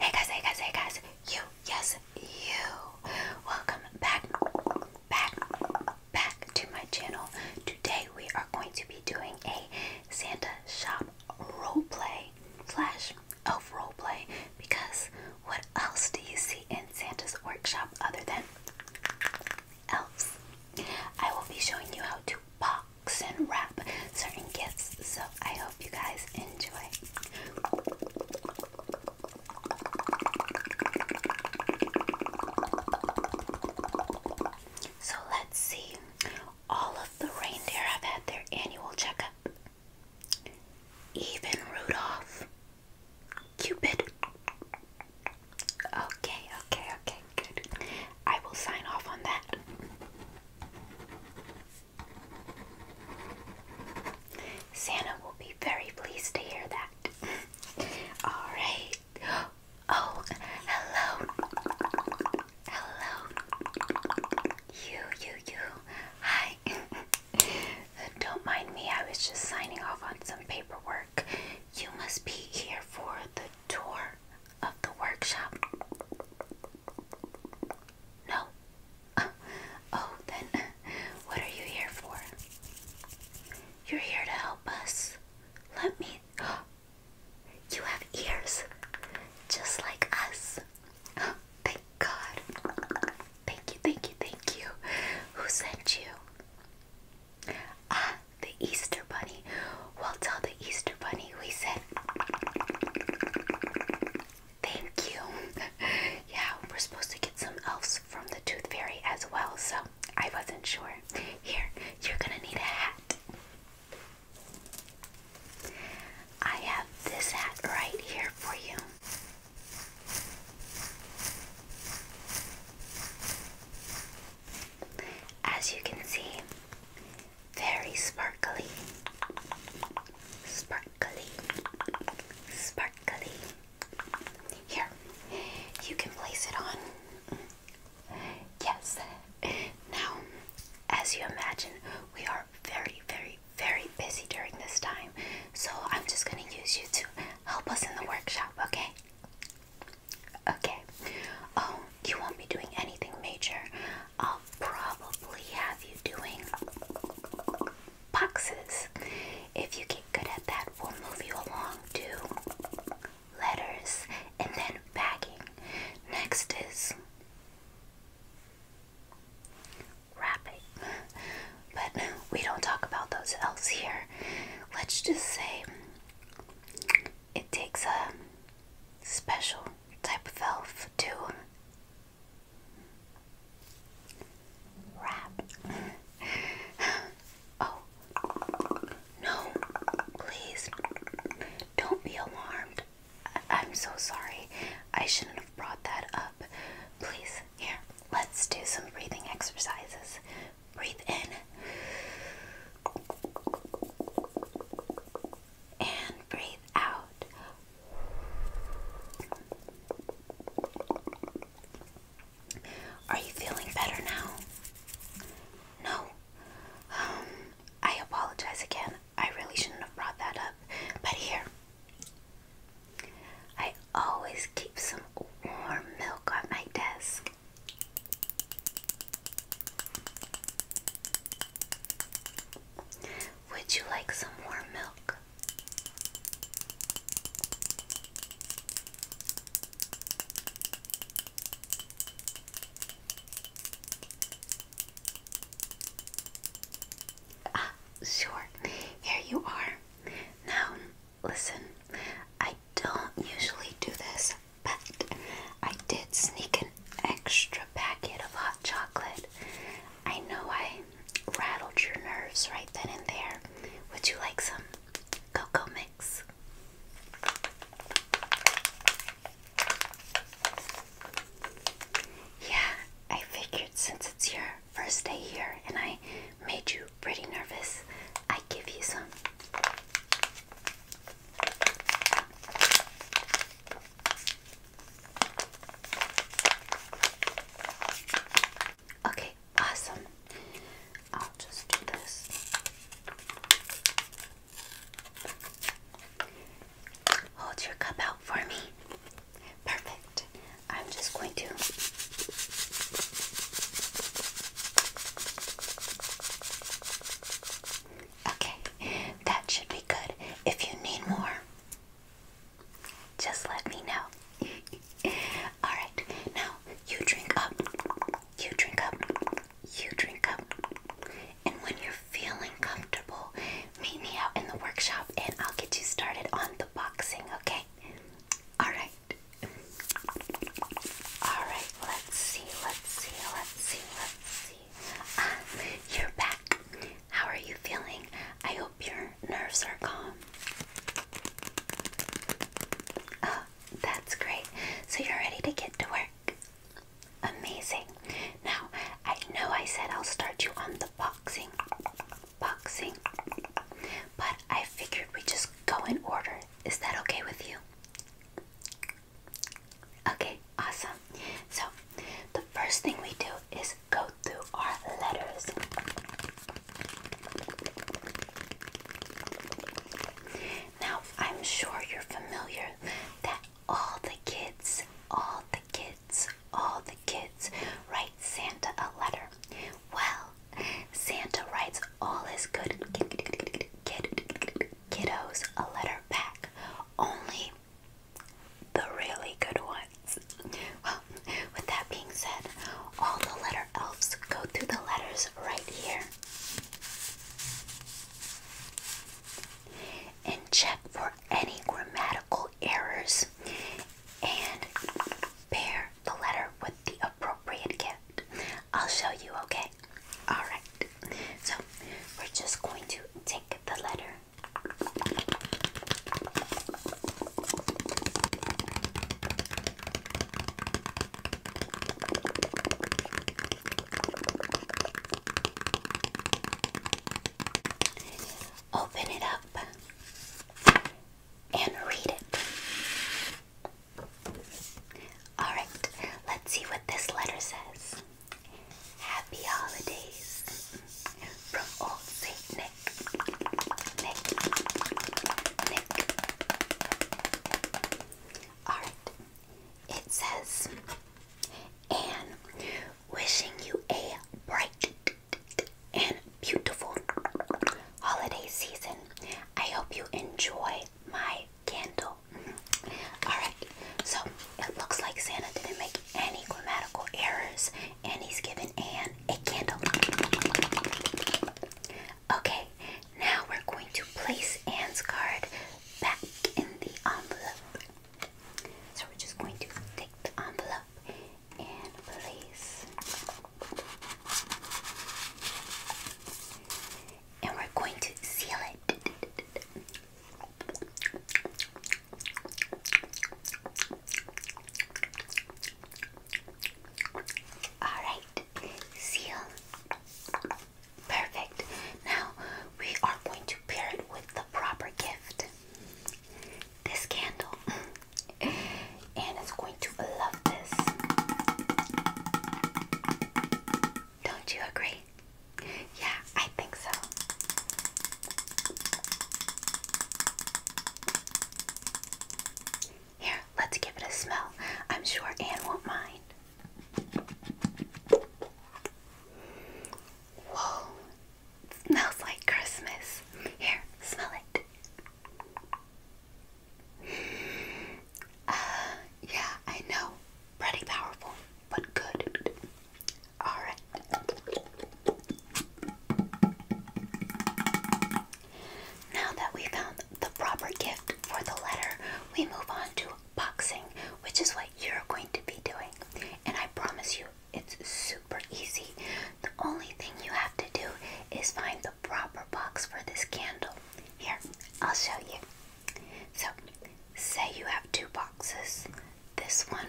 Hey guys, hey guys, hey guys. You, yes, you. Welcome back, back, back to my channel. Today we are going to be doing a Santa shop roleplay slash elf roleplay because what else do you see in Santa's workshop other than else. I will be showing you how to box and wrap certain gifts, so I hope you guys enjoy. So let's see. All of the reindeer have had their annual checkup. Even Rudolph, Cupid, Okay, okay, okay, good. I will sign off on that. Santa will be very pleased to hear that. Alright. Oh, hello. Hello. You, you, you. Hi. Don't mind me, I was just signing off on some paperwork you must be here for the tour of the workshop. No. Oh, then what are you here for? You're here to help us. Let me. You have ears, just like us. Thank God. Thank you, thank you, thank you. Who sent you? Ah, the Easter Bunny. Well, tell the Easter Bunny we said thank you. yeah, we're supposed to get some elves from the Tooth Fairy as well, so I wasn't sure. Here, you're gonna need a hat. I have this hat right here for you. As you can see, very sparkly, sparkly, sparkly. Here, you can place it on. Yes. Now, as you imagine, we are very, very, very busy during this time. So I'm just going to use you to help us in the workshop, okay? Okay. Oh, you won't be doing anything major. I'll probably have you doing boxes. If you get good at that, we'll move you along to letters and then bagging. Next is wrapping. But we don't talk about those L's here. Let's just say it takes a special type of elf to wrap. oh, no, please don't be alarmed. I am so sorry. I shouldn't have brought that up. Please, here, let's do some breathing exercises breathe in and breathe out. Are you feeling better now? No. Um, I apologize again. I really shouldn't have brought that up. But here, I I always keep some warm milk on my desk. Would you like some warm milk? Ah, sure. Here you are. Now Listen, I don't usually do this, but I did sneak an extra packet of hot chocolate. I know I rattled your nerves right then and there. Would you like some cocoa mix? Yeah, I figured since it's your first day here and I made you pretty nervous, I give you some. Okay, awesome. I'll just do this. Hold your cup out for me. Perfect. I'm just going to Okay, that should be good. If you need more, just let me know. Alright, now you drink up, you drink up, you drink up. And when you're feeling comfortable, meet me out in the workshop and I'll get you started on the boxing, okay? Alright, Alright, let's see, let's see, let's see, let's see. Ah, you're back. How are you feeling? I hope your nerves are calm. Oh, that's great. So you're ready to get to work? Amazing. Now, I know I said I'll start you on the boxing Boxing, But I figured we just go in order. Is that okay with you? Okay, awesome. So, the first thing we do is go through our letters. Now, I'm sure you're familiar that all the kids, all the kids, all the kids write Santa a letter. Well, Santa writes all his good kiddos a letter back. Only the really good ones. Well, with that being said, all the letter elves go through the letters right here and check for any grammatical errors and pair the letter with the appropriate gift. I'll show you, okay? Alright, so we're just going to take the letter. Open it up and read it. Alright, let's see what this letter says. Happy holidays from old Saint Nick. Nick. Nick. Alright, it says, Anne, Wishing you a bright and beautiful holiday season. I hope you enjoy my candle. Mm-hmm. Alright, so it looks like Santa didn't make any grammatical errors and he's given Anne a candle. Okay, now we're going to place Anne's card back in the envelope. So we're just going to take the envelope and place. And we're going to seal it. Alright, seal. Perfect. Now we are going to pair it with the proper gift this candle. and it's going to love this. Don't you agree? Yeah, I think so. Here, let's give it a smell. I'm sure Anne won't mind. Whoa, Smells like Christmas. Here, smell it. Uh, yeah, I know. Pretty powerful, but good. Alright. Now that we found the proper gift for the letter, we move on to boxing, which is what you're going to be doing. And I promise you, it's super easy. The only thing you have to do is find the proper box for this candle. Here, I'll show you. So, say you have two boxes. This one.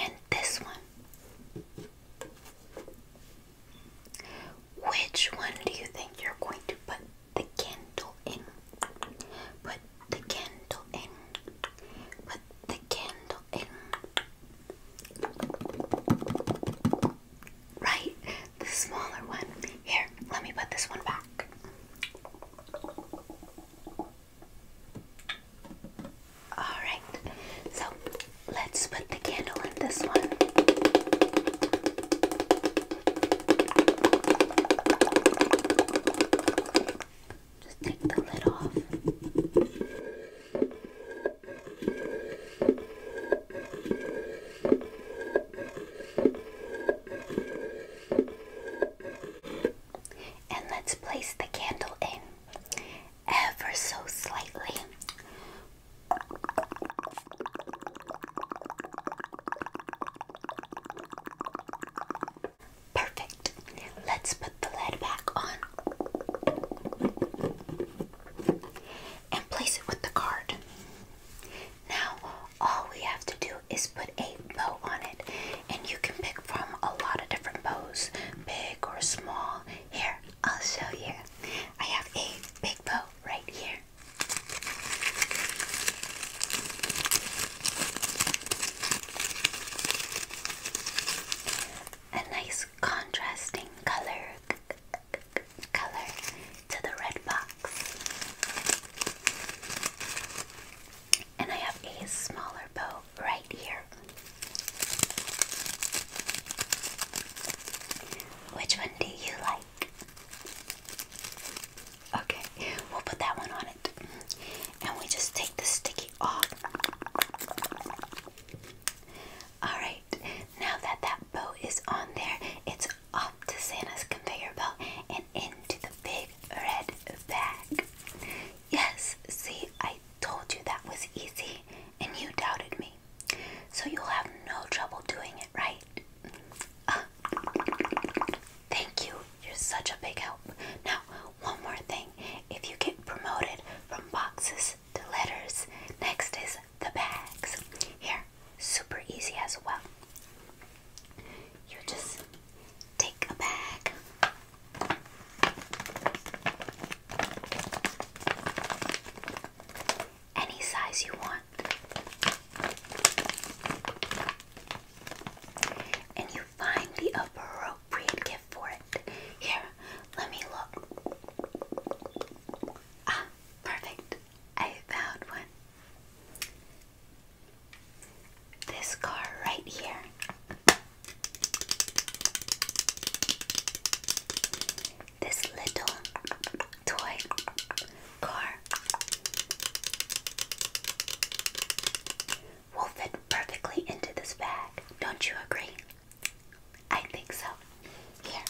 And this one. Which one do you think you're going to put the candle in? Put the candle in. Put the candle in. Right? The smaller one. Here, let me put this one back. Alright, so let's put the candle in this one. Just take the lid off and let's place the candle in ever so slightly. Perfect. Let's put the lid back on and place it with the card. Now, all we have to do is put a bow on it and you can pick from a lot of different bows big or small here I'll show you I have a big bow right here a nice contrasting color color to the red box and I have a smaller bow right here, which one do you like? Okay, we'll put that one on it, and we just take the sticky off. All right, now that that bow is on there, it's all to Santa's conveyor belt and into the big red bag. Yes, see, I told you that was easy and you doubted me. So you'll have no trouble doing it, right? Uh, thank you. You're such a big help. Now, one more thing. If you get promoted from boxes to letters, next is the bags. Here, super easy as well. You just take a bag. Any size you want. And you find the appropriate gift for it. Here, let me look. Ah, perfect. I found one. This car right here. This little toy car will fit perfectly into this bag. Don't you agree? I think so. Here,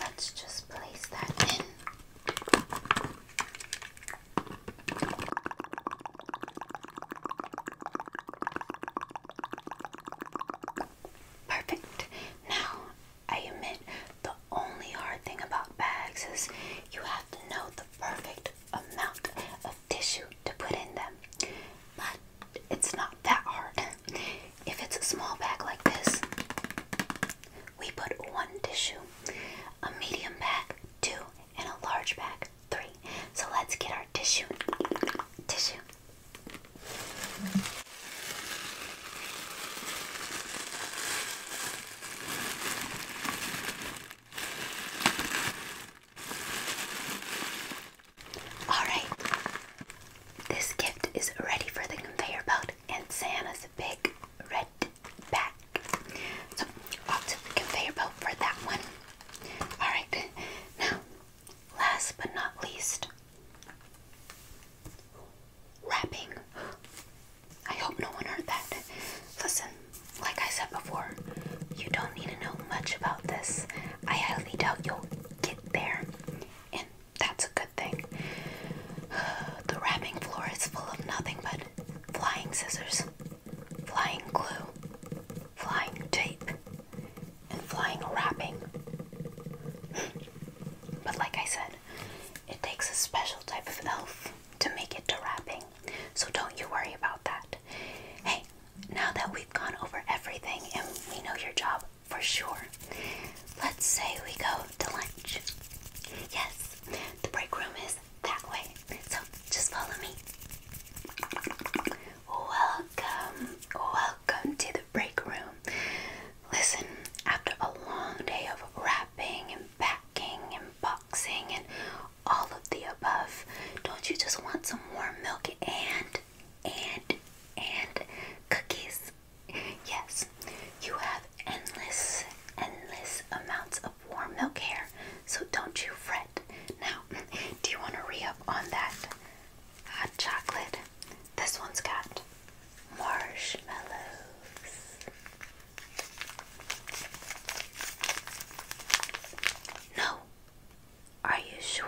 let's just place that in. Perfect. Now, I admit the only hard thing about bags is you have to know the perfect amount of tissue to put in them. But it's not that hard. If it's a small bag like this, we put one tissue, a medium pack, two, and a large pack, three. So let's get our tissue. Tissue. All right. This gift is ready for the conveyor belt and Santa's a big red bag. So off to the conveyor belt for that one. Alright, now last but not least wrapping. I hope no one heard that. Listen, like I said before, you don't need to know much about this. I highly doubt you'll get there. And that's a good thing. The wrapping floor is full of nothing but flying scissors, flying glue, flying tape, and flying wrapping. but like I said, it takes a special type of elf to make it to wrapping, so don't you worry about that. Hey, now that we've gone over everything and we know your job for sure, Let's say we go to lunch. Yes, the break room is that way. So just follow me. Welcome, welcome to the break room. Listen, after a long day of wrapping and packing and boxing and all of the above, don't you just want some warm milk and and and cookies? Yes, you have endless, endless amounts of warm milk here, so don't you fret. Now, do you want to re up on that hot chocolate? This one's got marshmallows. No. Are you sure?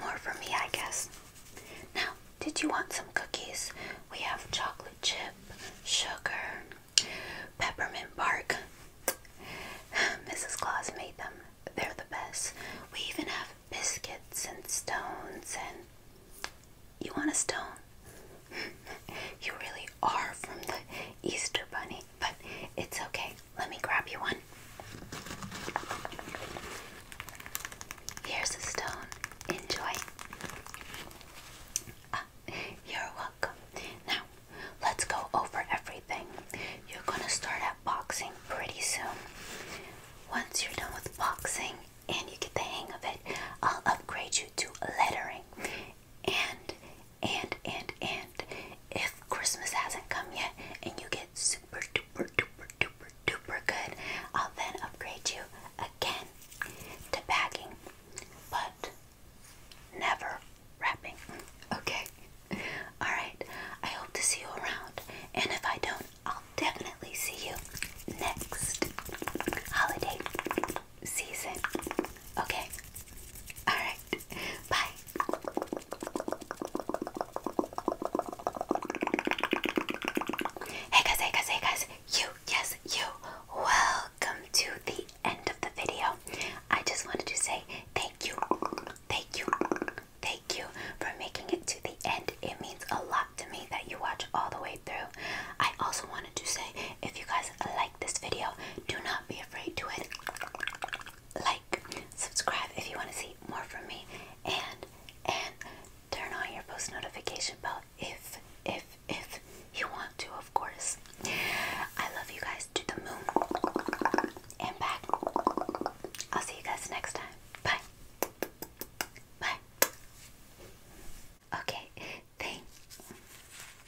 More for me, I guess. Now, did you want some cookies? We have chocolate chip, sugar, peppermint bark. Mrs. Claus made them. They're the best. We even have biscuits and stones and. You want a stone? you really are from the Easter Bunny but it's okay. Let me grab you one. Here's a stone. Enjoy. Ah, you're welcome. Now, let's go over everything. You're going to start at boxing pretty soon. Once you're done with boxing and you get the hang of it, I'll upgrade you to lettering and, and, and, and if Christmas hasn't come yet and you get super duper duper duper duper good, I'll then upgrade you again to bagging, but never wrapping. Okay? Alright, I hope to see you around, and if I don't, I'll definitely see you next holiday season. Okay? Alright, bye. Hey guys, hey guys, hey guys, you, yes, you, welcome to the end of the video. I just wanted to say thank you, thank you, thank you for making it to the end. It means a lot to me that you watch all the way through. I also wanted to say if you guys like this video, do not be afraid to it like, subscribe if you want to see more from me, and and turn on your post notification bell if if if you want to, of course. I love you guys to the moon and back. I'll see you guys next time. Bye. Bye. Okay. Thanks.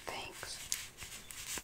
Thanks.